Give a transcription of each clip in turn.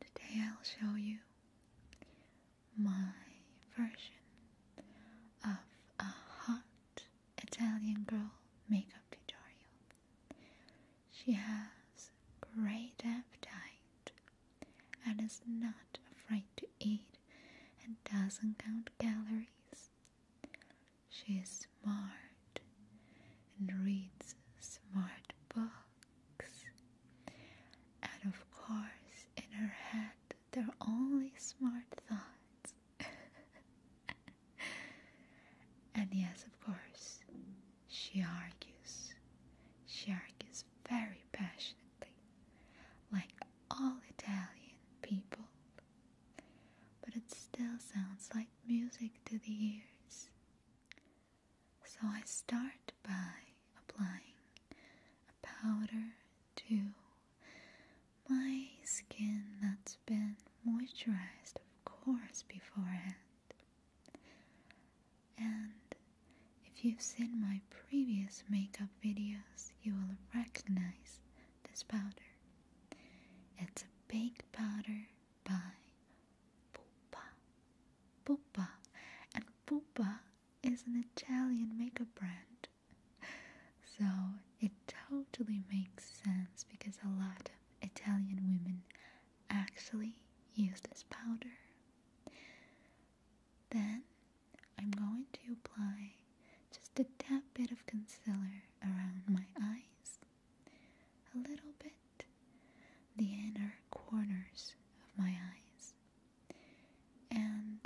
Today I'll show you my version of a hot Italian girl makeup tutorial. She has great appetite and is not afraid to eat and doesn't count calories. She is smart and reads smart books. And of course, in her head, there are only smart thoughts. and yes, of course, she argues. She argues very passionately, like all Italian people. But it still sounds like music to the ears. So I start by applying a powder to my skin that's been moisturized, of course, beforehand. And if you've seen my previous makeup videos, you will recognize this powder. It's a baked powder by Pupa. Pupa, and Pupa is an Italian makeup brand. So it totally makes sense because a lot of Italian women actually use this powder. Then I'm going to apply just a tad bit of concealer around my eyes, a little bit, the inner corners of my eyes. And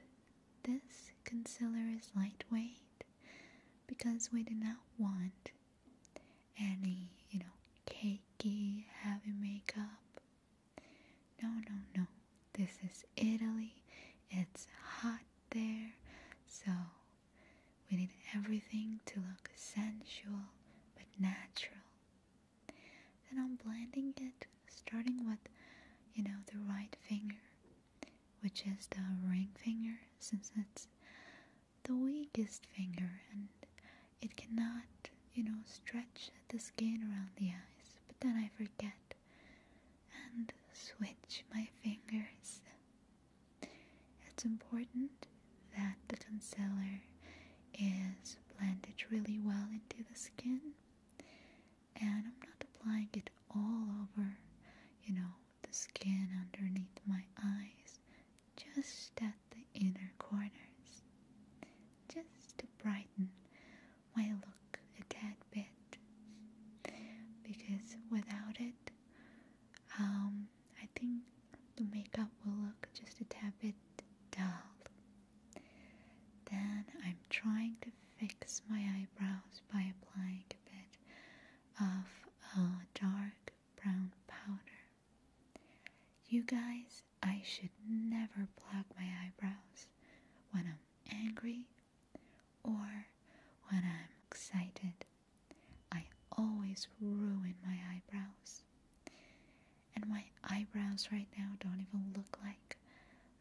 this concealer is lightweight because we do not want any, you know, cakey, heavy makeup. No, no, no. This is Italy. It's hot there. So we need everything to look sensual but natural. Then I'm blending it, starting with, you know, the right finger, which is the ring finger, since it's the weakest finger and it cannot, you know, stretch the skin around the eyes. But then I forget and switch my fingers. It's important that the concealer is blended really well into the skin and I'm not applying it all over you know the skin underneath my eyes just at the inner corners just to brighten my look a tad bit because without it um I think the makeup will look just a tad bit dull then I'm trying to fix my eyebrows by applying a bit of a dark brown powder. You guys, I should never block my eyebrows when I'm angry or when I'm excited. I always ruin my eyebrows. And my eyebrows right now don't even look like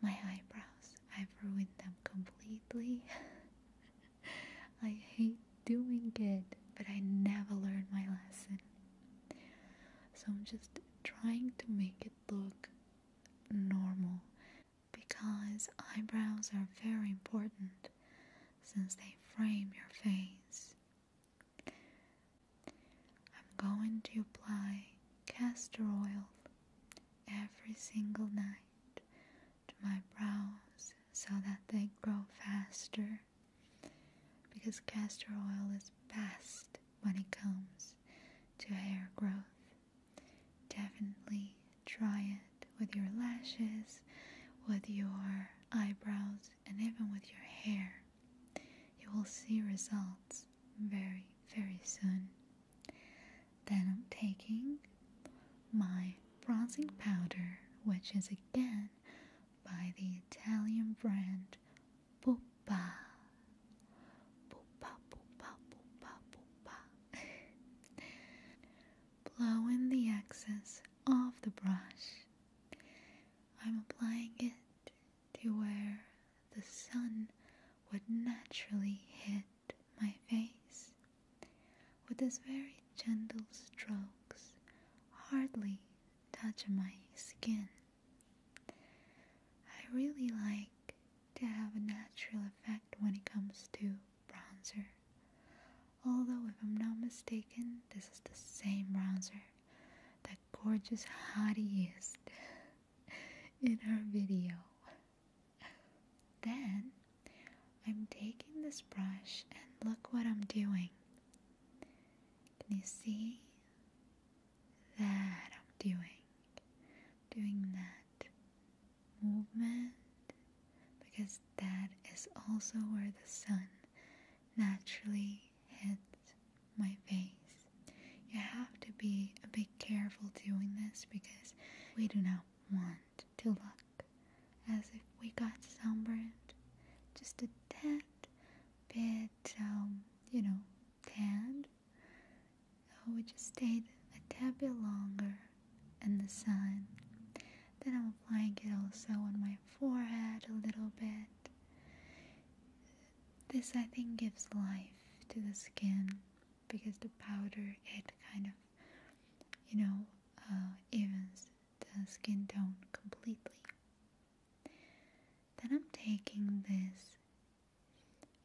my eyebrows. I've ruined them completely. I hate doing it, but I never learned my lesson. So I'm just trying to make it look normal because eyebrows are very important since they frame your face I'm going to apply castor oil every single night to my brows so that they grow faster because castor oil is best when it comes to hair growth. Definitely try it with your lashes, with your eyebrows, and even with your hair. You will see results very, very soon. Then I'm taking my bronzing powder, which is again by the Italian brand Pupa. Pupa, Pupa, Pupa, Pupa. Blow in the excess of the brush. I'm applying it to where the sun would naturally hit my face. With its very gentle strokes, hardly touch my skin. I really like to have a natural effect when it comes to bronzer. Although, if I'm not mistaken, this is the same bronzer that gorgeous hottie in our video. Then I'm taking this brush and look what I'm doing. Can you see? That I'm doing. doing that movement because that is also where the sun naturally hits my face. You have to be a bit careful doing this because we do not want to look as if we got sunburned. Just a tad bit, um, you know, tanned. So we just stayed a tad bit longer in the sun. Then I'm applying it also on my forehead a little bit this I think gives life to the skin because the powder it kind of you know uh, evens the skin tone completely. Then I'm taking this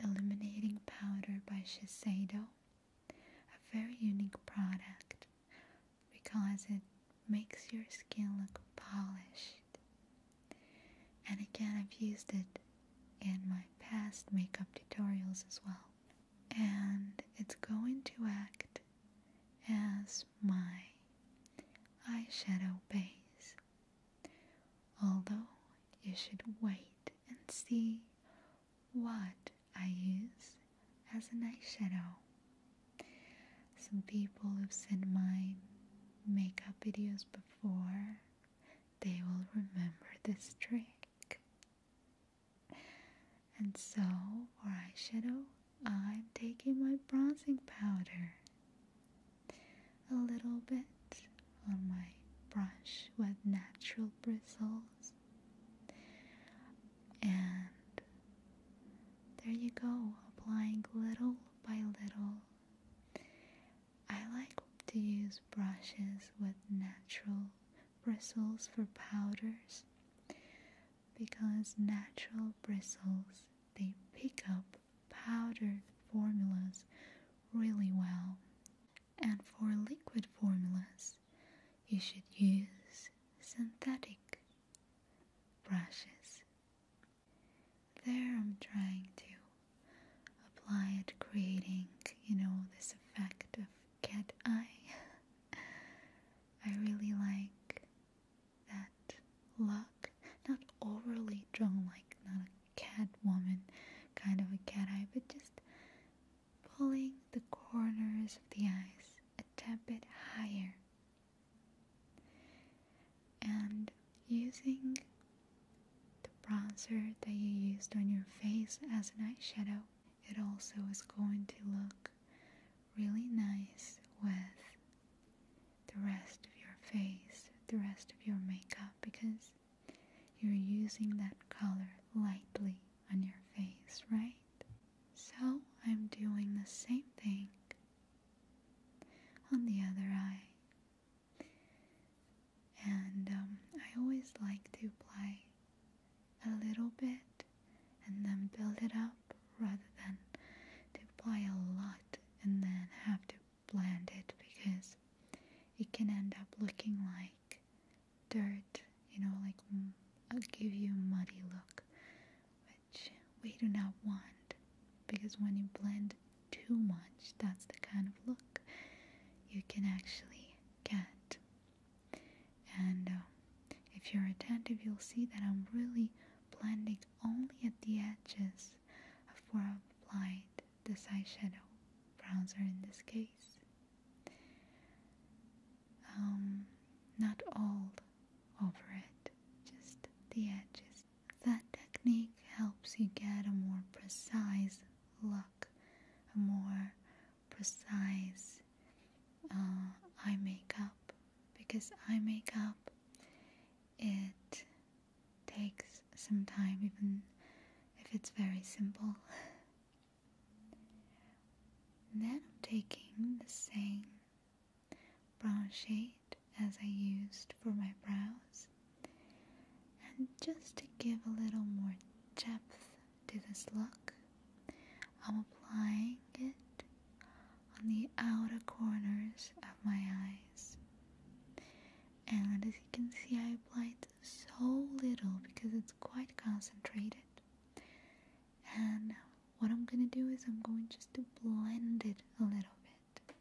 illuminating powder by Shiseido, a very unique product because it makes your skin look polished and again, I've used it in my past makeup tutorials as well. And it's going to act as my eyeshadow base. Although you should wait and see what I use as an eyeshadow. Some people who've seen my makeup videos before, they will remember this trick. And so, for eyeshadow, I'm taking my bronzing powder a little bit on my brush with natural bristles. And there you go, applying little by little I like to use brushes with natural bristles for powders because natural bristles they pick up powdered formulas really well. And for liquid formulas, you should use synthetic brushes there I'm trying to apply it, creating, you know, this effect of cat eye. I really like that look, not overly drawn, like not a cat woman kind of a cat eye, but just pulling the corners of the eyes a tad bit higher and using the bronzer that you used on your face as an eyeshadow it also is going to look really nice with the rest of your face the rest of your makeup because you're using that color lightly on your face right so I'm doing the same thing on the other eye and um, I always like to apply a little bit and then build it up rather than to apply a lot and then have to blend it because it can end up looking like dirt, you know, like mm, I'll give you a muddy look, which we do not want because when you blend too much, that's the kind of look you can actually get. And uh, if you're attentive, you'll see that I'm really blending only at the edges before I've this eyeshadow bronzer in this case. Um, not all over it, just the edges. That technique helps you get a more precise look, a more precise uh, eye makeup because eye makeup it takes some time even if it's very simple. then I'm taking the same brown shade as I used for my brows and just to give a little more depth to this look I'm applying it on the outer corners of my eyes and as you can see I applied so little because it's quite concentrated and what I'm gonna do is I'm going just to blend it a little bit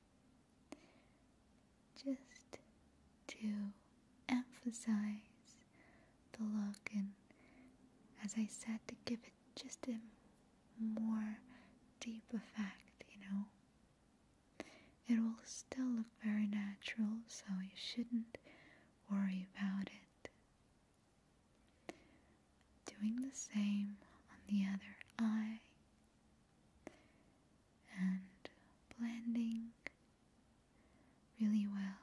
just to emphasize the look and as I said to give it just a more deep effect, you know. It will still look very natural, so you shouldn't worry about it. Doing the same on the other eye and blending really well.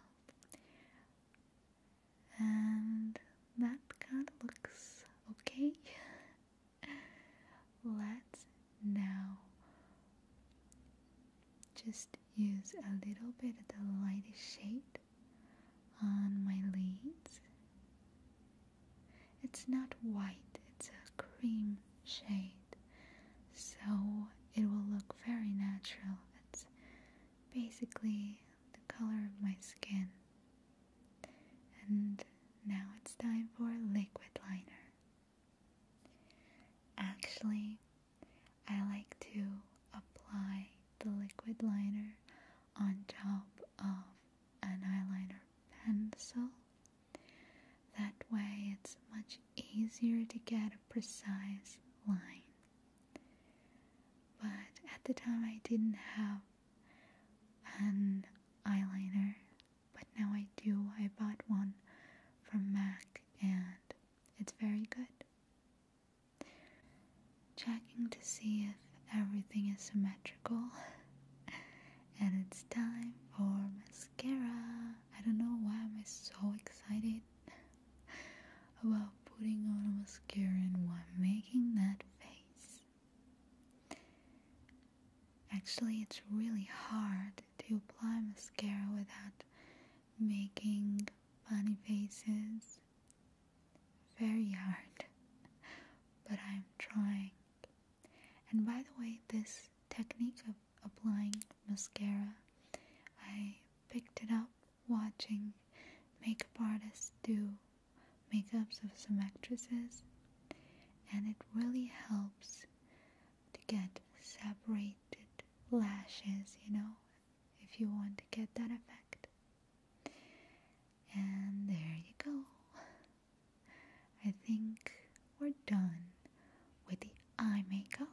And that kind of looks okay. Let's now just use a little bit of the lightest shade on my lids. It's not white, it's a cream shade, so it will look very natural. It's basically the color of my skin. And now it's time for liquid liner. Actually, I like to apply the liquid liner on top of an eyeliner pencil. That way it's much easier to get a precise line. But at the time I didn't have an eyeliner, but now I do. I bought one from MAC and it's very good. Checking to see if everything is symmetrical. and it's time for mascara. I don't know why am I so excited about putting on mascara and why I'm making that face. Actually, it's really hard to apply mascara without making funny faces. Very hard, but I'm trying. And by the way, this technique of applying mascara, I picked it up watching makeup artists do makeups of some actresses, and it really helps to get separated lashes, you know, if you want to get that effect. And there you go. I think we're done with the eye makeup.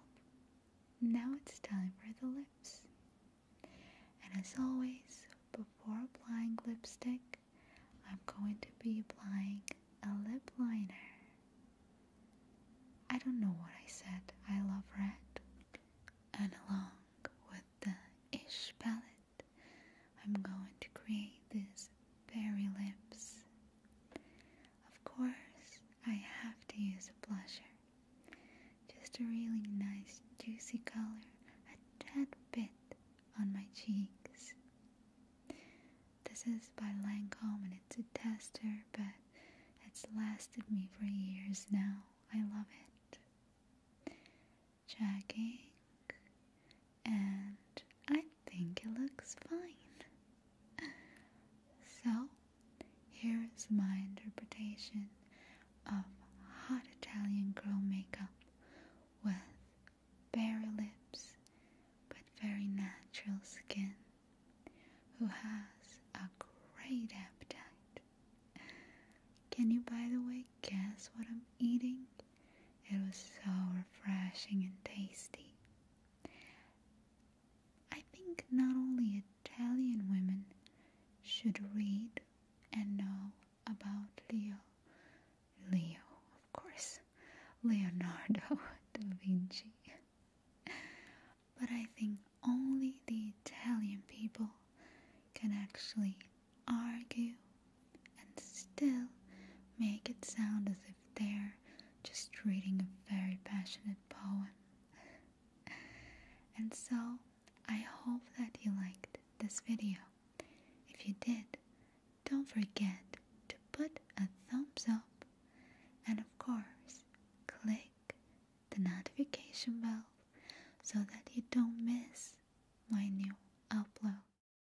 Now it's time for the lips. And as always, before applying lipstick, I'm going to be applying a lip liner. I don't know what I said, I love red. And along with the ish palette, I'm going to create these berry lips. Of course, I have to use a blusher. Just a really nice juicy color, a tad bit on my cheeks. This is by Lancome and it's a tester, but it's lasted me for years now. I love it. Jackie and I think it looks fine. So, here is my interpretation of hot Italian girl makeup with bare lips but very natural skin who has a great appetite. Can you, by the way, guess what I'm eating? It was so refreshing and tasty. I think not only Italian women should read and know about Leo. Leo, of course. Leonardo da Vinci. But I think only the Italian people can actually argue and still make it sound as if they're just reading a very passionate poem. and so, I hope that you liked this video. If you did, don't forget to put a thumbs up and of course, click the notification bell so that you don't miss my new upload.